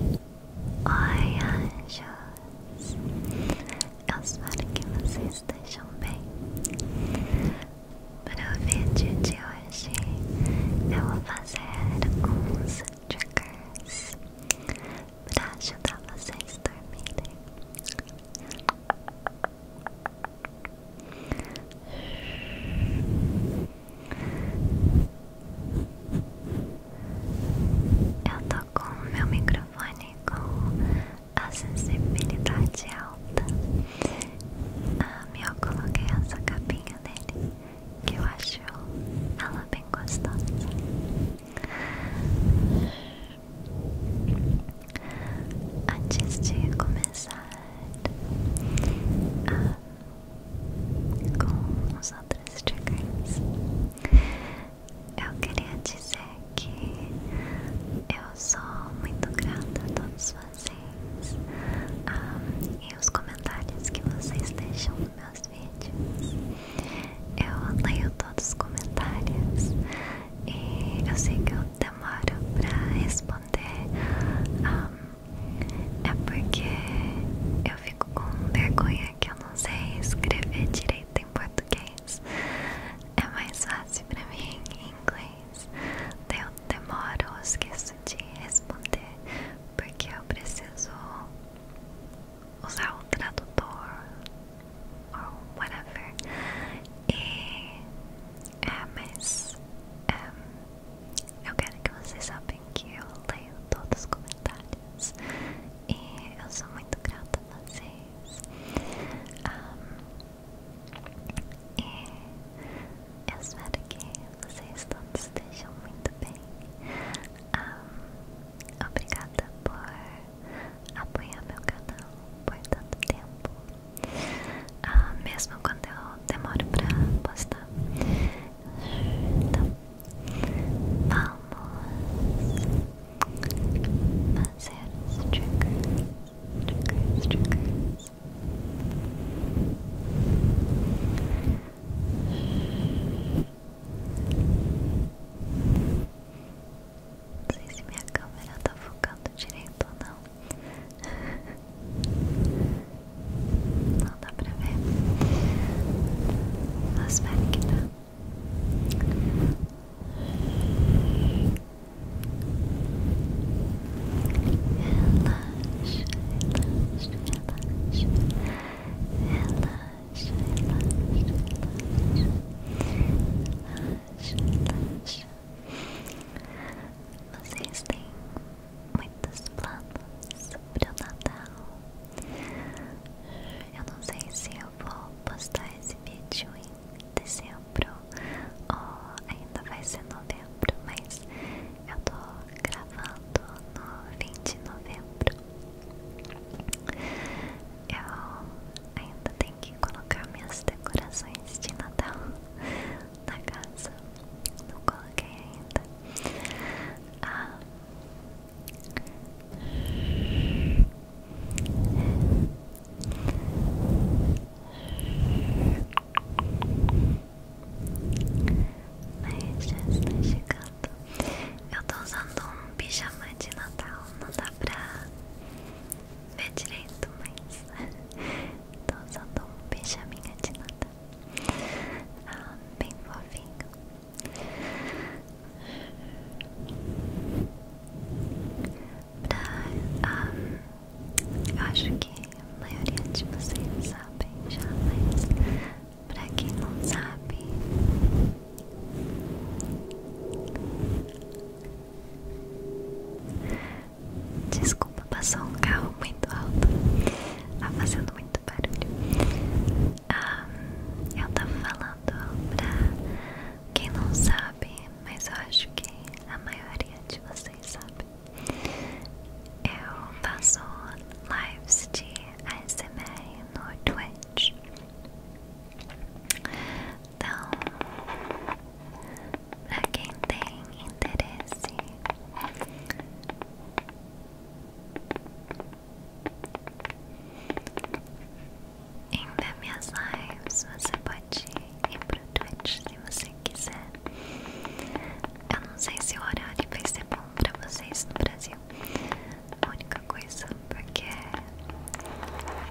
Oi, anjos! Eu espero que vocês estejam bem. Para o vídeo de hoje, eu vou fazer alguns triggers para ajudar vocês a dormirem. Eu tô com o meu microfone com a sensibilidade alta. Ah, eu coloquei essa capinha nele, que eu acho ela bem gostosa. Antes de começar a ah, com os outros triggers. Eu queria dizer que eu sou muito grata a todos vocês ah, e os comentários que vocês deixam nos meus vídeos. Eu leio todos os comentários e eu sei que eu demoro para responder. Ah, é porque eu fico com vergonha que eu não sei escrever direito em português. É mais fácil pra mim em inglês. Eu demoro, eu esqueço de responder, porque eu preciso usar o tradutor ou whatever. E é, mas é, eu quero que vocês saibam que eu leio todos os comentários. É, eu sou muito grata a vocês. e é, eu espero que vocês todos estejam muito bem. obrigada por apoiar meu canal por tanto tempo. mesmo quando eu demoro pra postar. Então, Vamos fazer os triggers, triggers, Não sei se minha câmera tá focando direito ou não. não dá pra ver. Mas espero que dá. Tá. Relaxa, relaxa, relaxa. Relaxa, relaxa, relaxa. Relaxa, relaxa. Vocês têm muitos planos pro Natal. Eu não sei se eu vou postar esse vídeo em dezembro ou ainda vai ser novembro, mas eu tô gravando no 20 de novembro. Eu ainda tenho que colocar minhas decorações de Natal na casa. Não coloquei ainda. Ah, mas já está chegando. Eu tô usando um pijama de Natal, não dá pra ver direito, mas tô usando um pijaminha de Natal. Ah, bem fofinho. Pra, eu acho que a maioria de vocês sabem já, mas pra quem não sabe, desculpa, passou um carro muito alto, tá fazendo muito barulho eu tava falando pra quem não sabe, mas eu acho que a maioria de vocês sabe. Eu faço lives de ASMR no Twitch. Então, pra quem tem interesse em ver minhas lives, você pode ir pro Twitch se você quiser. Eu não sei se o horário vai ser bom pra vocês no Brasil. A única coisa, porque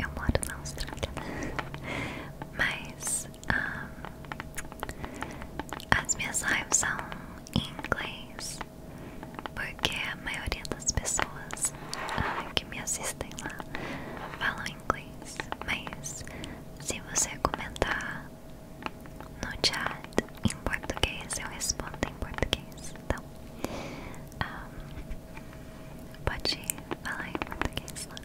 eu moro na Austrália. Mas ah, as minhas lives são em inglês porque a maioria das pessoas ah, que me assistem lá falam inglês, mas se você comentar no chat em português, eu respondo em português, então pode falar em português lá.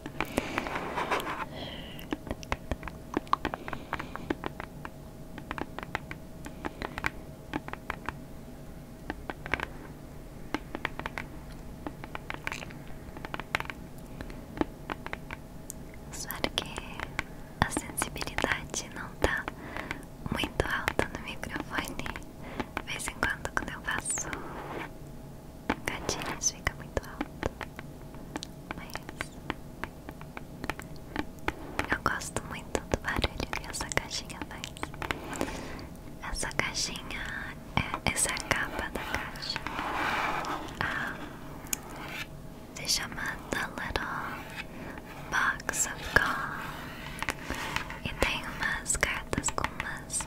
Espero que a sensibilidade não tá muito alta no microfone. De vez em quando, quando eu faço gatilhos, fica muito alto. Mas eu gosto muito do barulho que essa caixinha faz. Essa caixinha é essa é capa da caixa. Ah, se chama The Little Box of God. E tem umas cartas com umas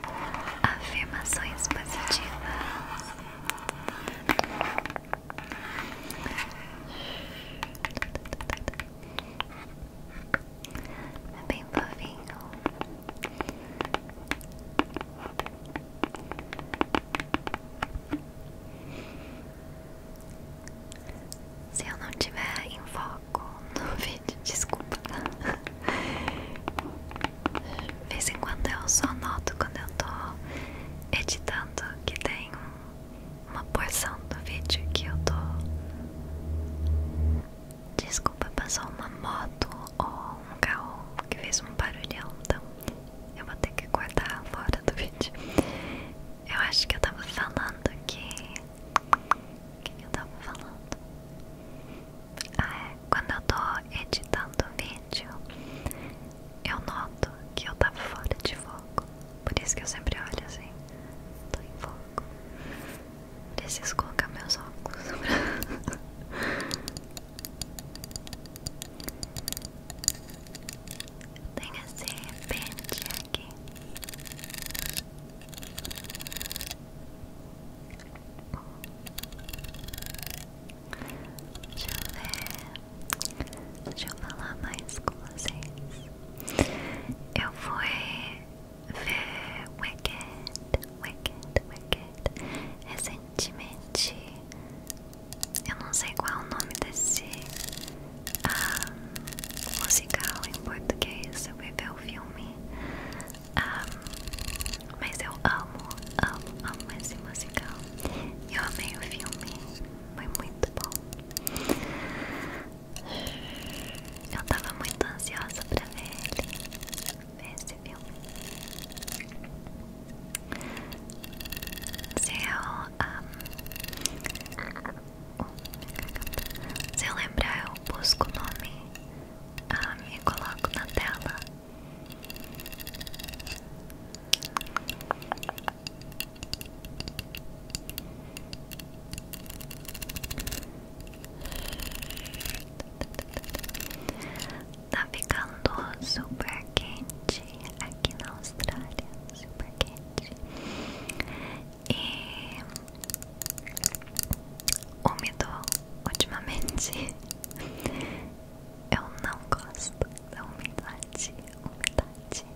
afirmações positivas. É bem fofinho. Se eu não tiver em foco no vídeo, desculpa. De vez em quando eu só noto quando eu tô editando que tem um uma porção do vídeo que eu tô. Desculpa, passou uma moto ou um carro que fez um barulhão, então eu vou ter que cortar fora do vídeo. Eu acho que eu tava falando que. O que eu tava falando? Ah, é. Quando eu tô editando o vídeo, eu noto que eu tava fora de foco. Por isso que eu sempre olho assim. Tô em foco. Preciso colocar meus óculos. Tem esse repente aqui. Deixa eu ver. Deixa eu falar mais com vocês. Eu fui ver Wicked, Wicked, Wicked. Recentemente, eu não sei qual é o nome desse ah, musical em português, eu vi o filme. Ah, mas eu amo, amo, amo esse musical. Eu amei o filme, foi muito bom. Eu tava muito ansiosa pra ver ele, ver esse filme. Se eu. Um, oh, se eu lembrar, eu busco o nome um, e coloco na tela. Tá ficando super quente aqui na Austrália, super quente e úmido ultimamente. Eu não gosto da umidade, umidade.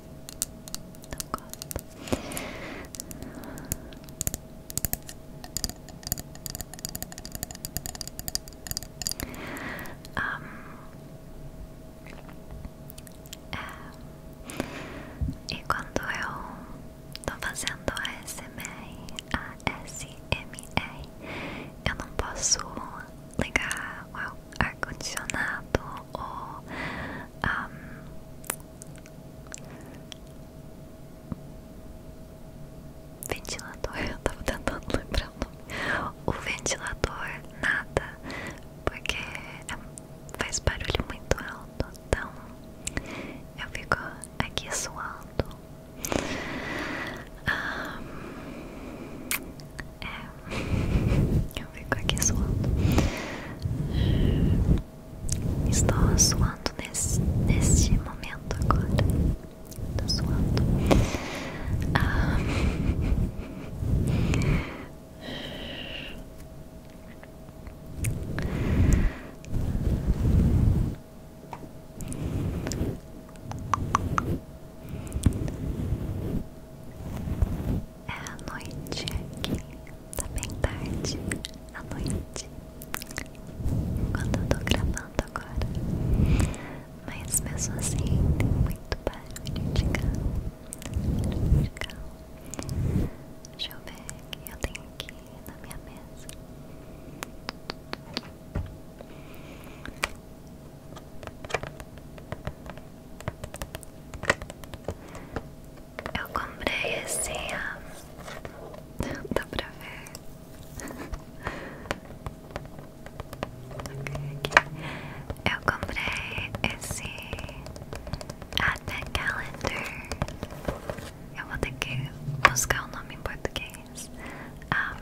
Não gosto. Um, é, e quando eu tô fazendo a SMR, a SMR, eu não posso ligar o ar-condicionado ou ventilador, eu tava tentando lembrar o nome. O ventilador, nada, porque é, faz barulho muito alto, então eu fico aqui suando. Um, é, praia. Eu fico aqui suando. Estou suando nesse, neste momento agora. Estou suando. Ah. É a noite aqui, tá bem tarde, à noite, quando eu tô gravando agora. Mas mesmo assim tem muito barulho de carro, barulho de carro. Deixa eu ver o que eu tenho aqui na minha mesa. Eu comprei esse. Assim, Dá pra ver? okay, aqui. Eu comprei esse. Advent Calendar. Eu vou ter que buscar o nome em português ah,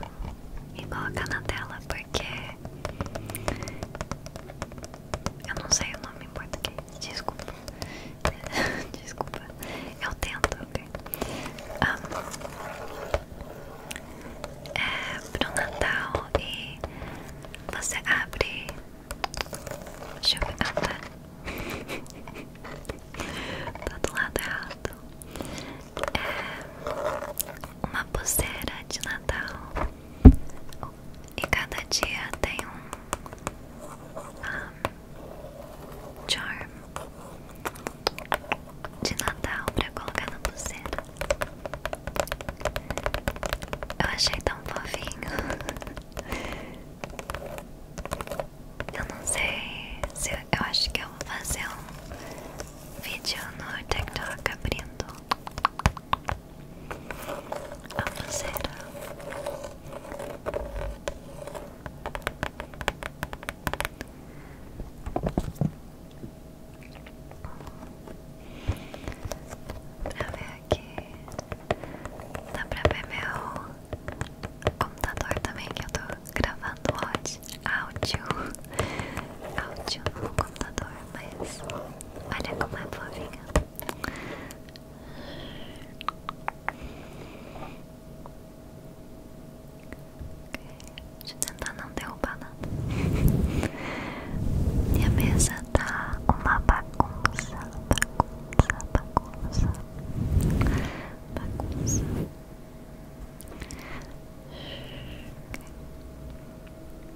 e colocar na tela porque eu não sei o nome em português, desculpa. desculpa. Eu tento, ok? é pro Natal e você abre. Deixa eu ver. Ah, tá. Tá do lado errado. É uma pulseira de Natal e cada dia tem um, um charm de Natal pra colocar no pulseira. Eu achei tão fofinho. Eu não sei eu, eu acho que eu vou fazer um vídeo no TikTok abrindo a pulseira pra ver aqui dá pra ver meu computador também que eu tô gravando áudio áudio no computador mas olha como é fofinha Deixa eu tentar não derrubar nada. Minha mesa tá uma bagunça, bagunça, bagunça, bagunça.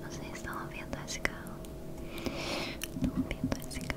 Vocês estão ouvindo esse carro? Estão ouvindo esse carro?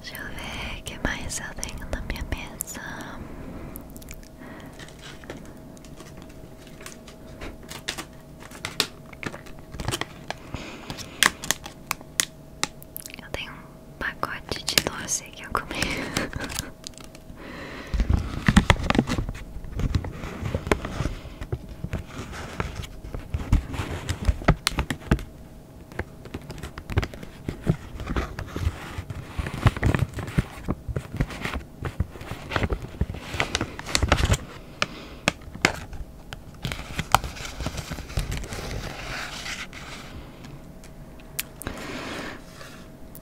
Deixa eu ver o que mais eu tenho na minha mesa. Eu tenho um pacote de doce que eu comi.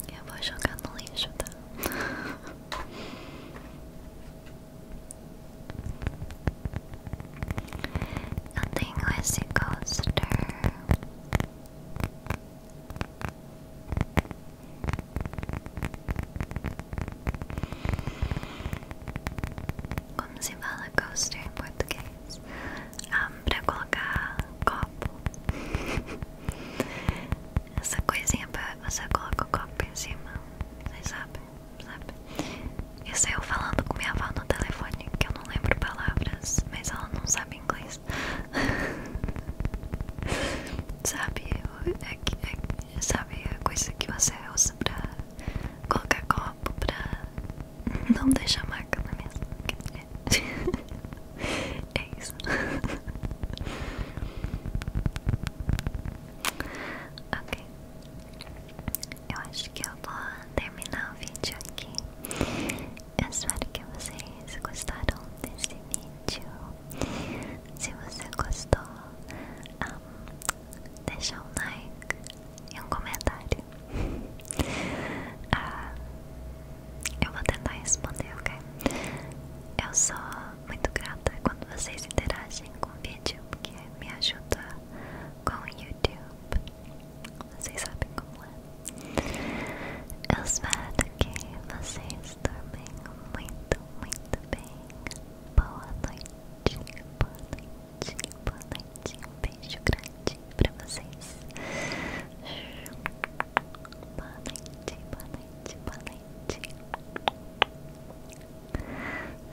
Eu vou jogar no lixo, tá? Eu tenho esse coaster. Como se fala coaster em português? Ah, pra colocar copo. Essa coisinha pra você colocar o copo em cima. Vocês sabem? sabe? Isso eu falando com minha avó no telefone, que eu não lembro palavras, mas ela não sabe inglês. sabe? É, é sabe a é coisa que você usa pra colocar copo, pra não deixar marca na mesa. É, é isso. Ok. Eu acho que eu vou terminar o vídeo aqui. Eu espero que vocês gostaram desse vídeo. Se você gostou, deixe um like e um comentário. Ah, eu vou tentar responder, ok? Eu sou muito grata quando vocês interagem com o vídeo, porque me ajuda com o YouTube. Vocês sabem como é. Eu espero que vocês dormem muito, muito bem. Boa noite, boa noite, boa noite. Um beijo grande pra vocês. Boa noite, boa noite, boa noite.